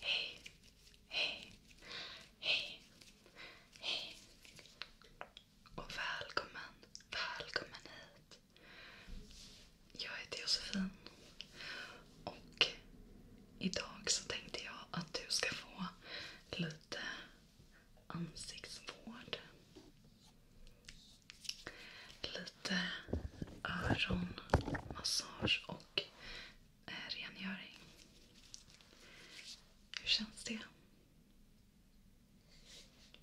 Hej, hej, hej, hej och välkommen, välkommen hit. Jag heter Josefin och idag så tänkte jag att du ska få lite ansiktsvård. Lite öronmassage och eh, rengöring. Hur känns det?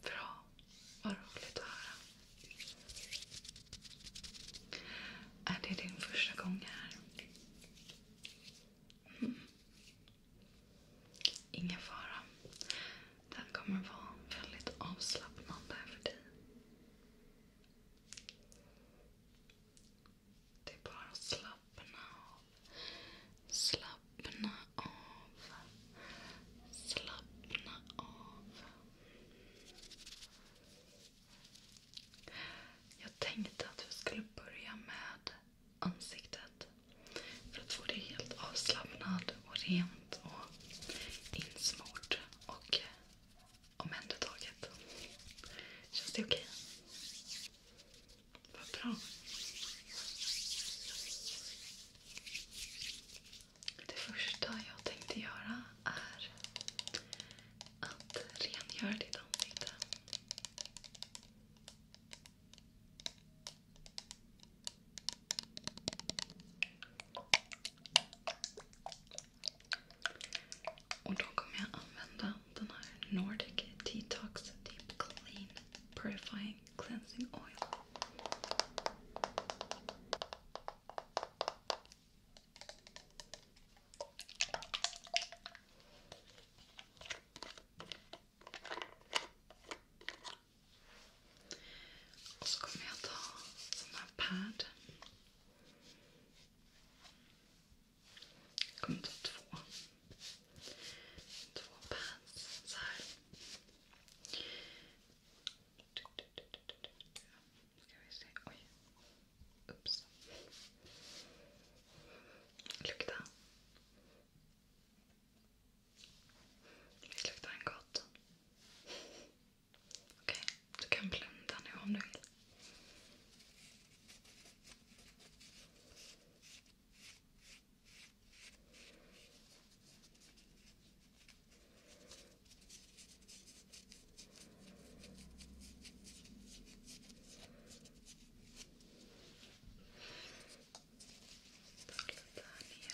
Bra. Vad roligt att höra. Är det din första gång här? Mm. Ingen fara. Det här kommer vara väldigt avslappnande för dig. Det är bara att slappna av. Slappna av. Slappna av. Jag tänkte att vi skulle börja med ansiktet. För att få det helt avslappnat och rent och insmort och omhändertaget. Känns det okej? Vad bra. Det första jag tänkte göra är att rengöra ditt ansikte. Och då kommer jag använda den här Nordic Detox Deep Clean Purifying Cleansing Oil. Och så kommer jag ta sån här pad. Jag kommer ta två. Två pads så här. Ska vi se. Oj. Ups. Lukta. Visst luktar den gott? Okej, okay. du kan blunda nu om du vill. Okej, Ta lite här nere.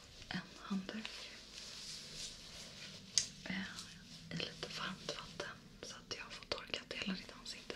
en handduk eh, i lite varmt vatten så att jag får torka hela ditt ansikte.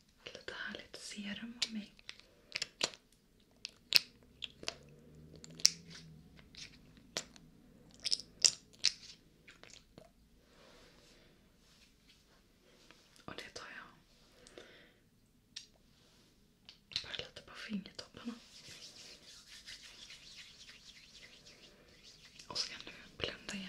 Lite härligt serum av mig. Och det tar jag bara lite på fingertopparna. Och så kan du blunda igen.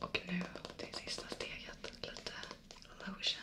Och nu till sista steget, lite lotion.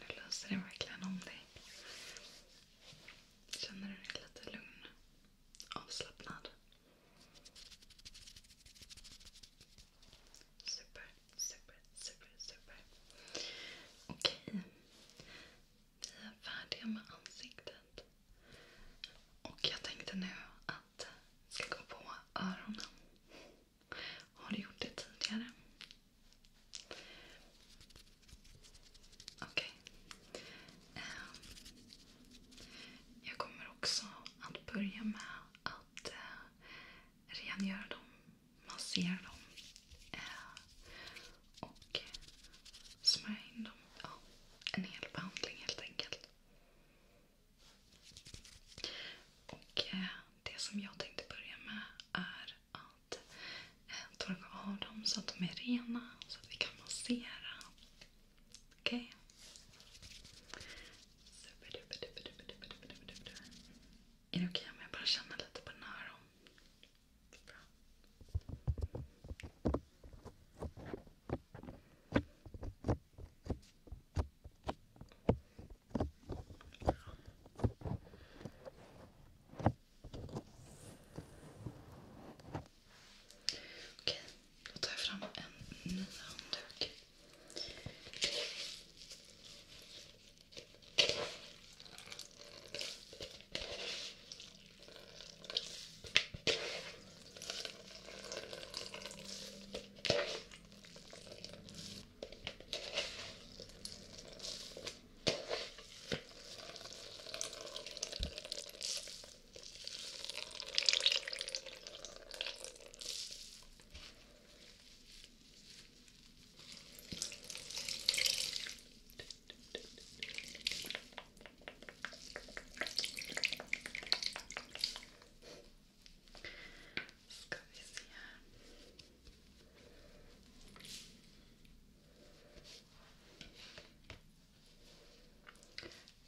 Nu löser den verkligen om dig. Känner du dig lite lugn? Avslappnad? Super, super, super, super. Okej. Vi är färdiga med ansiktet. Och jag tänkte nu att vi ska gå på öronen. Har du gjort det tidigare? Okej. Okay. Ehm, jag kommer också att börja med att eh, rengöra dem, massera dem eh, och smörja in dem. en hel behandling helt enkelt. Och eh, det som jag tänkte börja med är att eh, torka av dem så att de är rena. Så att vi kan massera. Okej? Okay. Är det okej okay om jag bara känner lite på den här? Bra. Okej, då tar jag fram en ny handduk. Ska vi se här.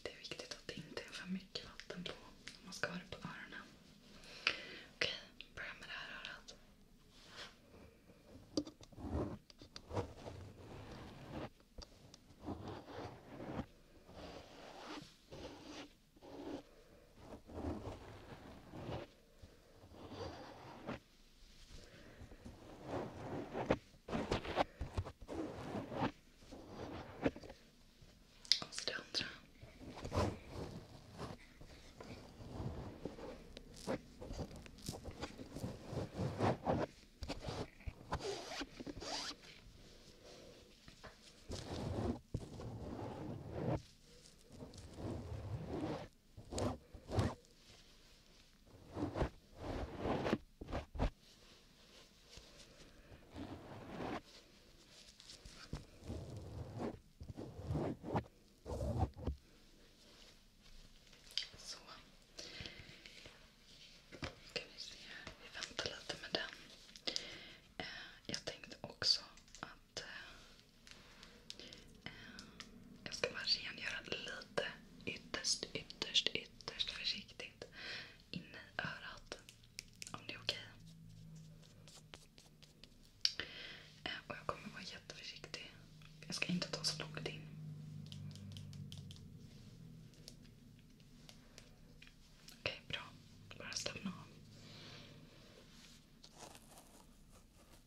Det är viktigt att det inte är för mycket vatten på om man ska ha det på öronen. Okej, börja med det här örat. Och så det andra. Så. Kan vi se Vi väntar lite med den. Eh, jag tänkte också att att eh, jag ska bara rengöra lite ytterst, ytterst, ytterst försiktigt in i örat. Om det är okej. Eh, och jag kommer vara jätteförsiktig. Jag ska inte ta så långt in. Okej, bra. Bara slappna av.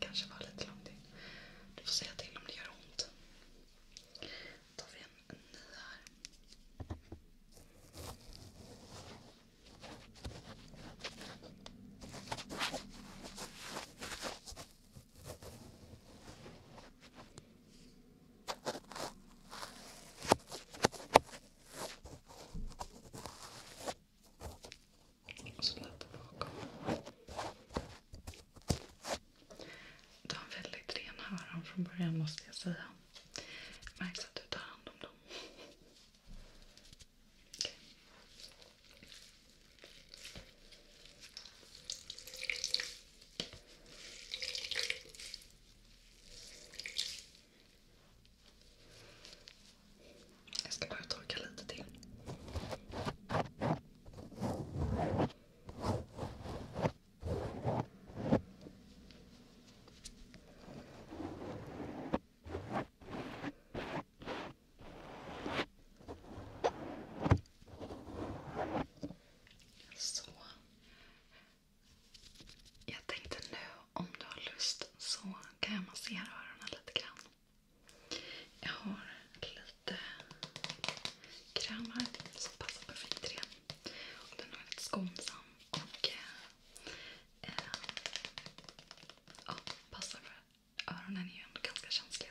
Kanske var lite långt in. Du får säga till om det gör ont. Då tar vi en ny här. Och så lätt bakom. Du har väldigt rena öron från början måste jag säga. Det märks att du tar hand om dem. Okay. Jag ska bara torka lite till. Så. Jag tänkte nu om du har lust så kan jag massera öronen lite grann. Jag har lite kräm här som passar perfekt till det. Och den är väldigt skonsam och eh, eh, passar för öronen är ju ändå ganska känsliga.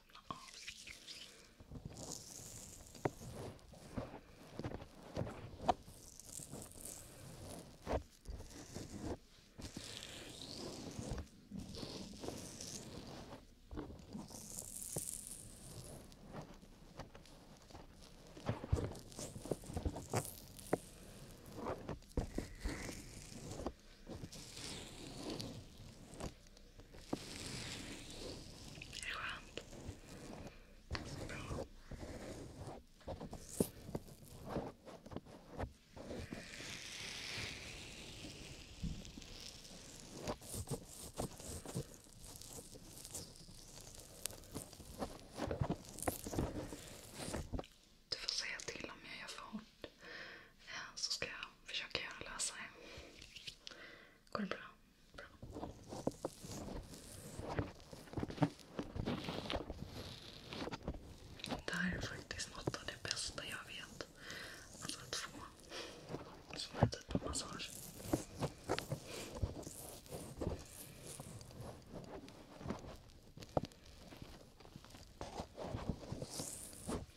slappna av. Är det skönt? Bra. Du får säga till om jag gör för hårt. Eh, så ska jag försöka göra lösare. Går det bra? Det här är faktiskt något av det bästa jag vet. Alltså att få sån här typ av massage.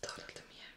Ta lite mer.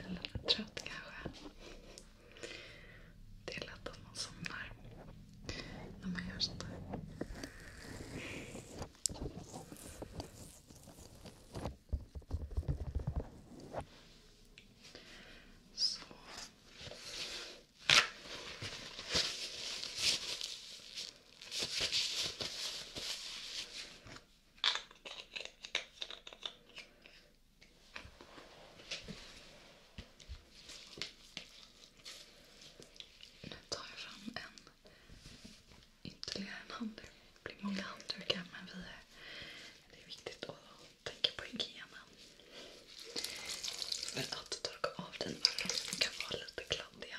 blir lite trött kanske. Det är lätt att man somnar när man gör sånt här. Så. Nu tar jag fram en ytterligare en handduk. Det blir många handdukar men vi är, det är viktigt att tänka på hygienen. För att torka av dina öron kan vara lite kladdiga.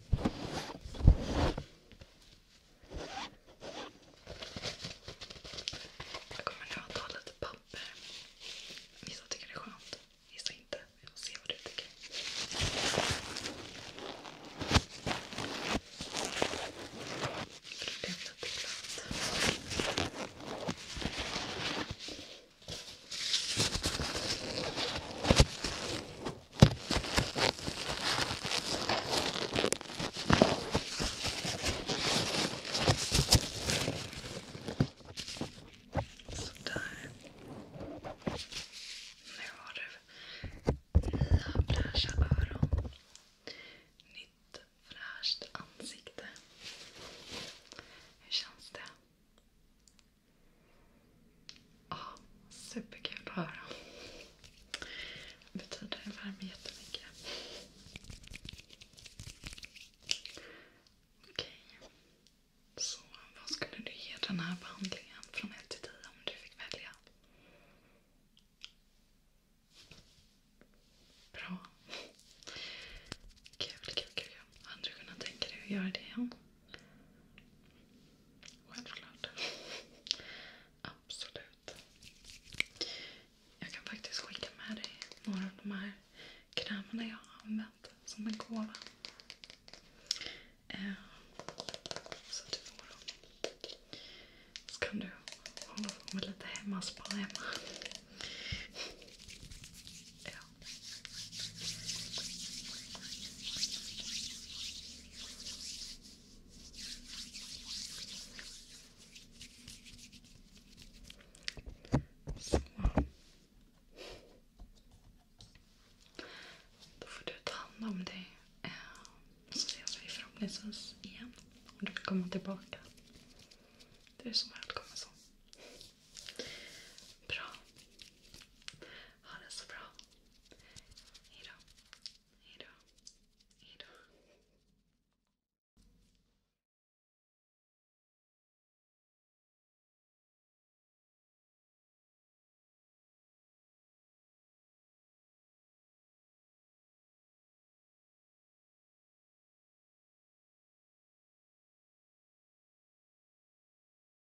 Jag kommer nu att ta lite papper. Vissa tycker det är skönt, vissa inte. Vi får se vad du tycker. Det blev lite glatt. Sådär. Nu har du nya fräscha öron. Nytt fräscht ansikte. Hur känns det? Ja, superkul att höra. betyder det värmer jättemycket. Okej. Så vad skulle du ge den här behandlingen från 1 10 om du fick välja? Bra. Kul, kul, kul. Hade du kunnat tänka dig att göra det igen? Självklart. Absolut. Jag kan faktiskt skicka med dig några av de här krämerna jag har använt som en gåva. Eh, så du får dem. Så kan du hålla på med lite hemmaspa hemma. Ja. Då får du ta hand om dig. Eh, så ses vi förhoppningsvis igen. Om du vill komma tillbaka. Du är så välkommen så. Bra. Ha det så bra. Hejdå. Hejdå. Hejdå.